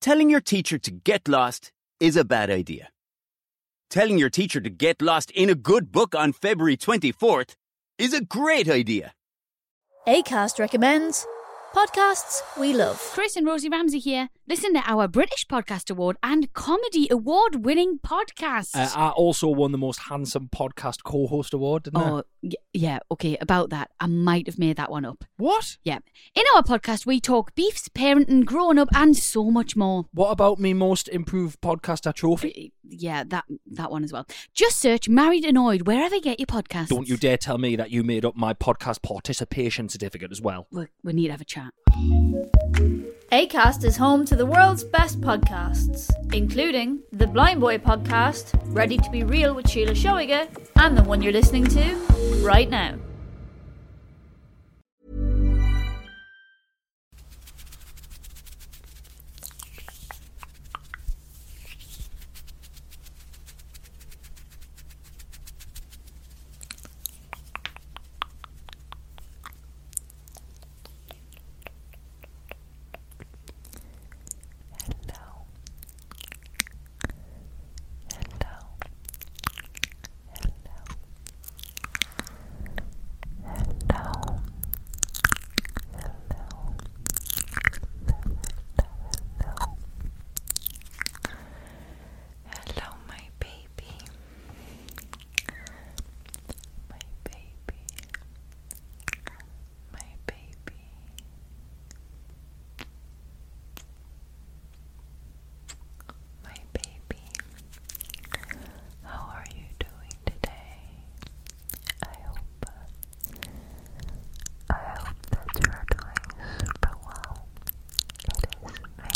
Telling your teacher to get lost is a bad idea. Telling your teacher to get lost in a good book on February 24th is a great idea. ACAST recommends podcasts we love. Chris and Rosie Ramsey here. Listen to our British Podcast Award and Comedy Award winning podcast. Uh, I also won the most handsome podcast co host award, didn't Oh, yeah. Okay, about that. I might have made that one up. What? Yeah. In our podcast, we talk beefs, parenting, grown up, and so much more. What about me most improved podcaster trophy? Uh, yeah, that that one as well. Just search Married Annoyed wherever you get your podcast. Don't you dare tell me that you made up my podcast participation certificate as well. we need to have a chat. ACAST is home to the world's best podcasts, including the Blind Boy podcast, Ready to Be Real with Sheila Shoiger and the one you're listening to right now. Hello, Hello. Hello. Hello. Hello. Hello. Hello, my baby. My baby. My baby. My baby, how are you doing today? I hope, I hope that you're doing super well. It is me,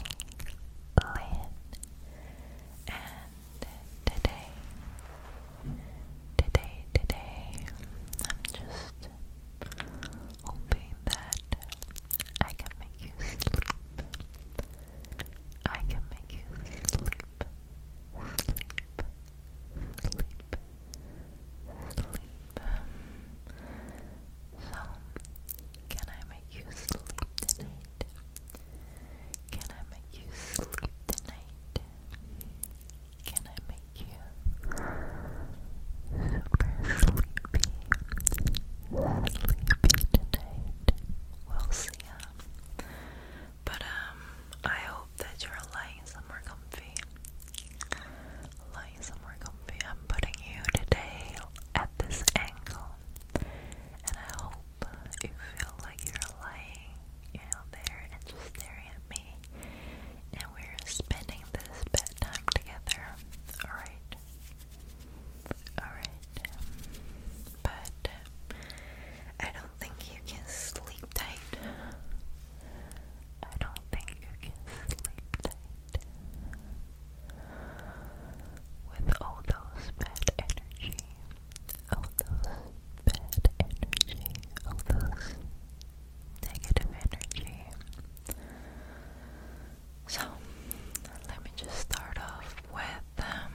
and today, today, today, I'm just hoping that I can make you sleep. I can make you sleep, sleep, sleep, sleep. Um, so, can I make you sleep tonight? Can I make you sleep tonight? Can I make you super sleepy? Sleepy tonight. We'll see But um, I hope that you're lying somewhere comfy. Lying somewhere comfy. I'm putting you today at this angle, and I hope you feel like you're lying, you there and just staring at me and we're spending this bedtime together. Alright. Alright. But uh, I don't think you can sleep tight. I don't think you can sleep tight. With all those bad energy, all those bad energy, all those negative energy. So, let me just start off with um,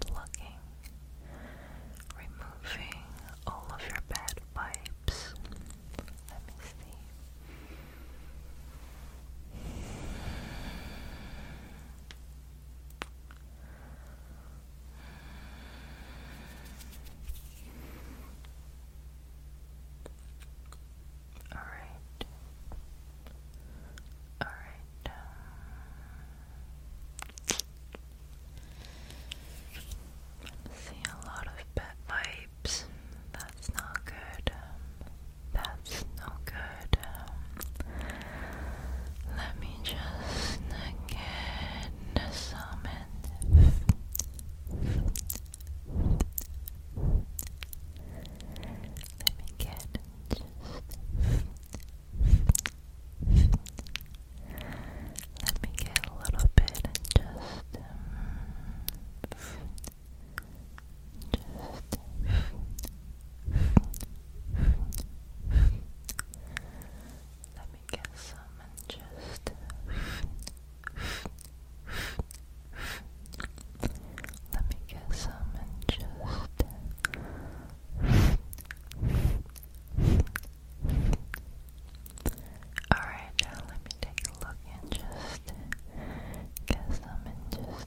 plugging, removing all of your bad vibes. Let me see. All right. Uh, seeing a lot of bad vibes. That's not good. That's no good. Let me just get some let me get just let me get a little bit just me guess some and just let me get some and just alright now let me take a look and just get some and just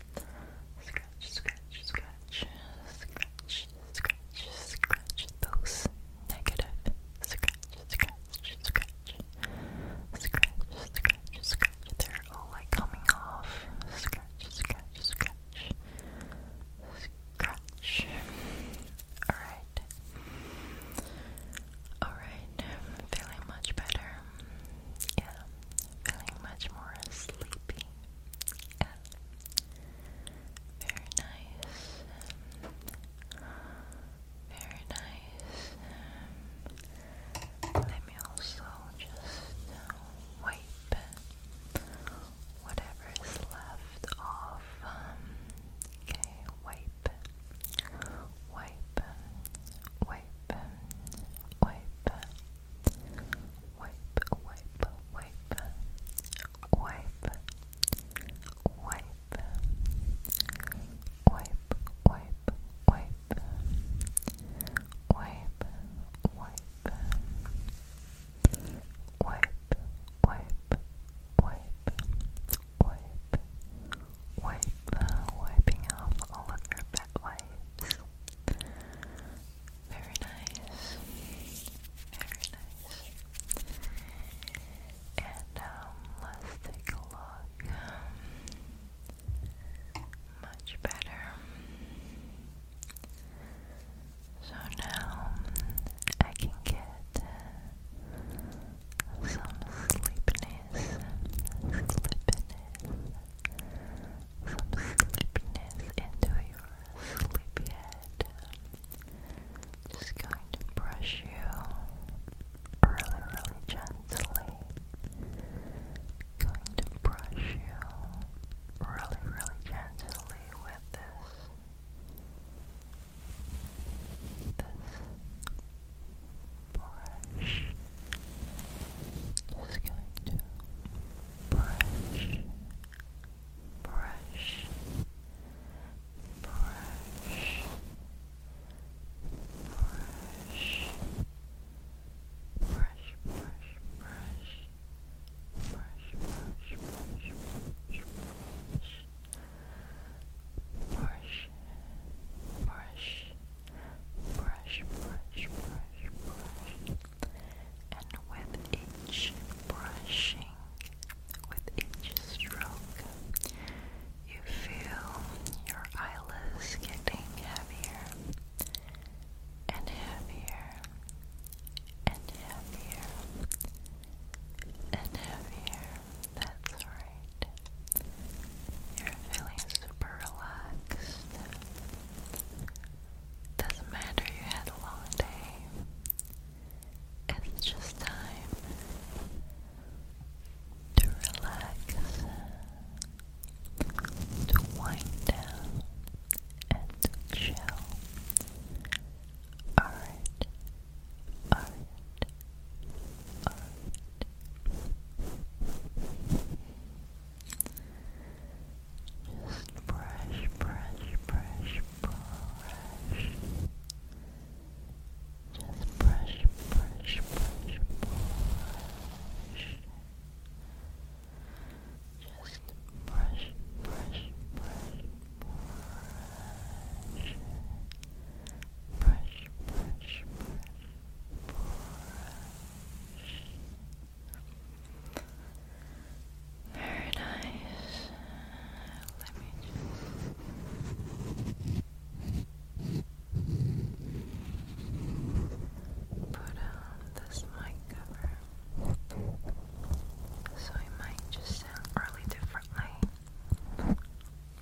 Scratch, scratch, scratch, scratch, scratch, scratch those negative. Scratch, scratch, scratch, scratch, scratch, scratch. They're all like coming off. Scratch, scratch, scratch, scratch. Alright. Alright, I'm feeling much better yeah, feeling much more sleepy. Very nice. Um, very nice. Um, let me also just wipe whatever is left off. Um, okay, wipe, wipe, wipe wipe, wipe, wipe, wipe, wipe, wipe, wipe, wipe, wipe, wipe, wipe, wipe, wipe, wipe, wipe, wipe, wipe, uh, wiping off all of your pet Very nice. Very nice. And um, let's take a look. Much better. So now I can get some sleepiness, sleepiness, some sleepiness into your sleepy head. Just going to brush you really, really gently. Going to brush you really, really gently with this. This brush just going to brush brush brush brush brush brush brush brush brush brush brush brush brush brush brush, brush, brush, brush. And with each brushing, with each stroke, you feel your eyelids getting heavier and heavier and heavier and heavier. That's right. You're feeling super relaxed. Doesn't matter you had a long day. It's just time to relax, to wind down, and chill. Alright, alright. All right. Just brush, brush, brush, brush. Just brush, brush, brush, brush. Just brush, brush, brush, brush. Brush, brush, brush, very nice. Let me just put on this mic cover. So it might just sound really differently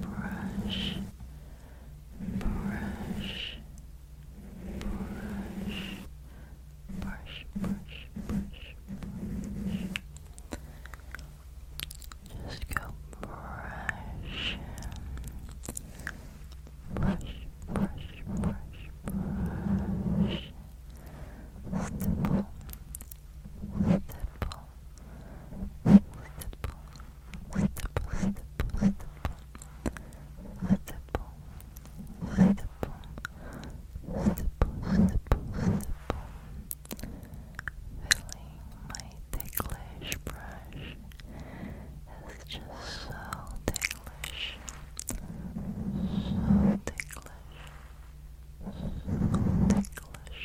brush, brush, brush, brush, brush, brush, brush. Just go brush, brush, brush, brush, brush. Stipple, stipple, stipple, stipple, stipple, stipple, stipple, stipple, stipple, stipple, stipple. Feeling my ticklish brush is just so ticklish, so ticklish, so ticklish.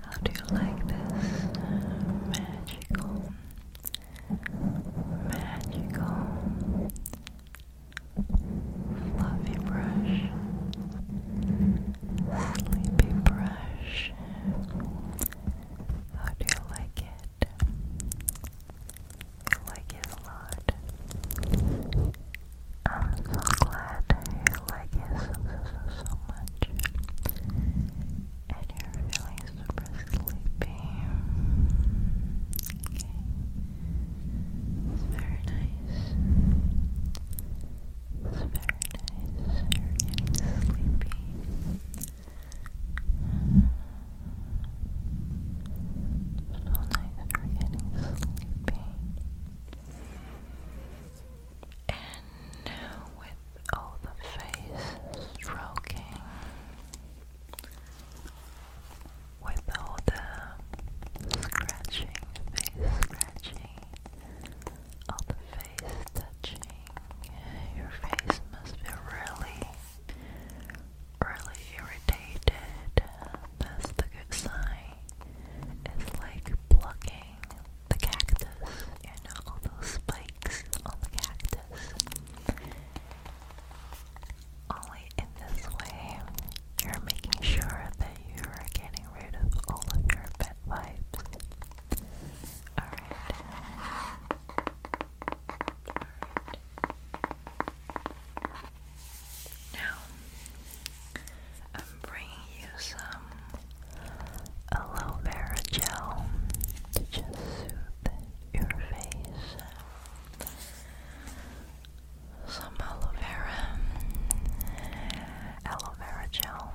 How do you like this magical, magical, fluffy brush, sleepy brush? How do you like it? You like it a lot. I'm so glad you like it so, so, much and you're feeling super sleepy. Okay. It's very nice. It's very nice. You're getting sleepy. so nice you're getting sleepy. And with all the face stroking with all the scratching, face scratching, all the face touching. Your face must be really, really irritated. That's the good sign. It's like plucking the cactus and all those spikes on the cactus. Only in this way, you're making sure that you are getting rid of all of your pet vibes. Alright. Now, um, I'm bringing you some aloe vera gel to just soothe your face. Some aloe vera, aloe vera gel.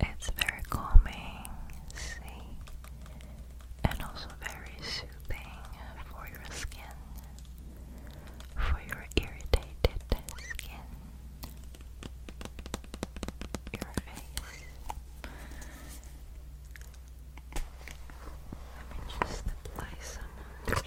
It's very calming, see, and also very soothing for your skin, for your irritated skin your face. Let me just apply some face.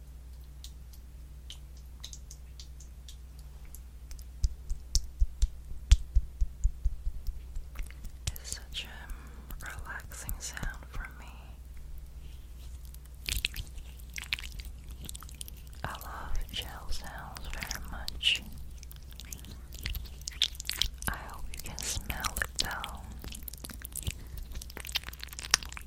It's such a um, relaxing sound for me. I love gel sounds very much. I hope you can smell it though.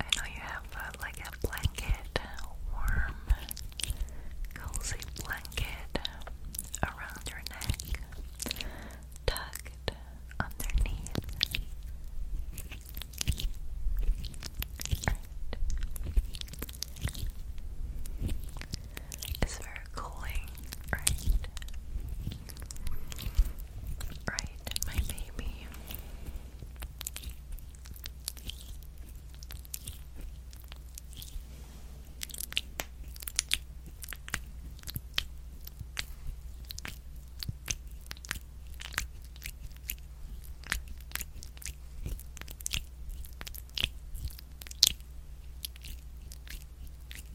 I know you have uh, like a blanket, warm, cozy blanket around your neck, tucked underneath. It's very cooling, right? Right, my baby.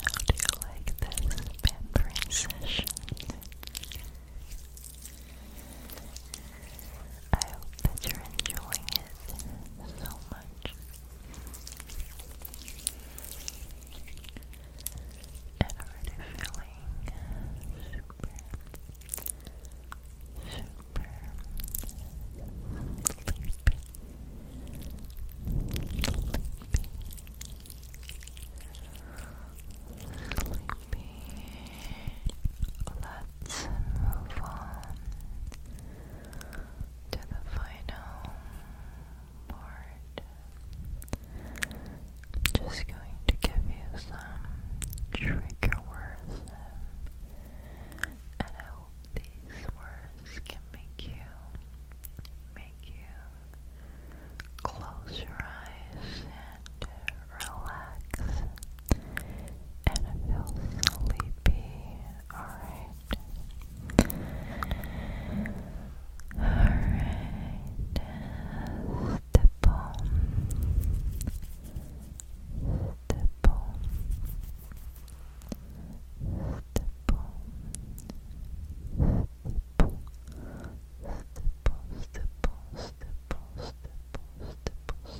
How do you like this pampering session? I hope that you're enjoying it so much. And already feeling super, super sleepy, sleepy, Let's move on to the final part. just going to give you some trigger words, and I hope these words can make you make you close your eyes relax and feel sleepy. Alright. Alright. Stipple. Stipple. Stipple. Stipple. Stipple, stipple, stipple, stipple, stipple,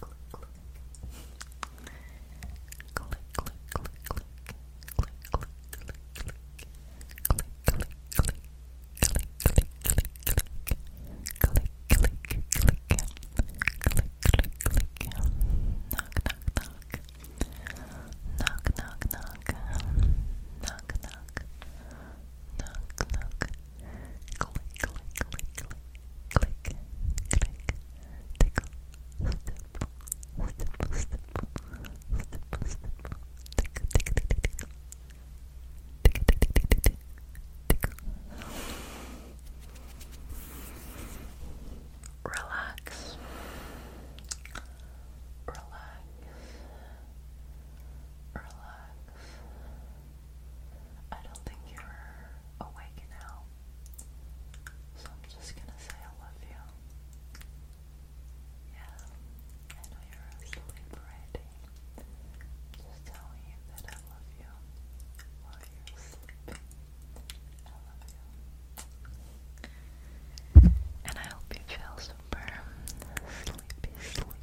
click, click. Click, click, click, click. Click, click, click, click. Click, click, click. Click, click, click, click. Click, click, click. Click, click, click. Knock, knock, knock. Knock, knock, knock. Knock, knock. Knock, knock click, click, click, click, click, click, tickle, stipple, stipple, stipple, stipple, stipple, tickle, tickle, tickle, tickle, tickle, tickle, tickle, tickle, tickle. Relax. Relax. Relax. Relax. I don't think you're awake now. So I'm just gonna say I love you. Yeah, I know you're asleep already. Just telling you that I love you while you're sleeping. I love you. And I hope you feel super sleepy,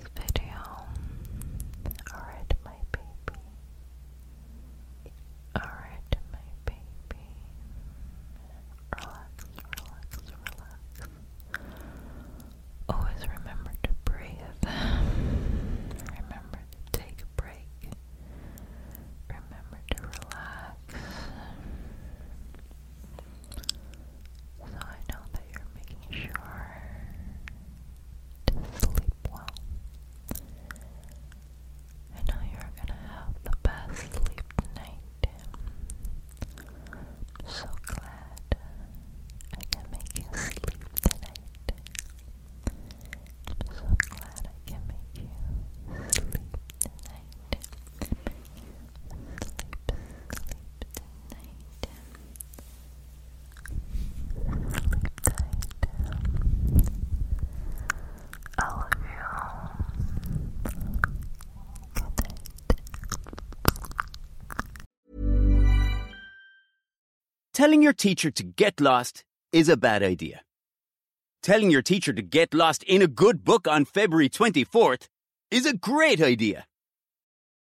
this video. Alright, my baby. Alright, my baby. Relax, relax, relax. Always remember to breathe. Remember to take a break. Remember to relax. So I know that you're making sure to sleep well. I know you're gonna have the best sleep tonight. so glad I can make you sleep tonight. so glad I can make you sleep tonight. sleep, sleep, Telling your teacher to get lost is a bad idea. Telling your teacher to get lost in a good book on February 24th is a great idea.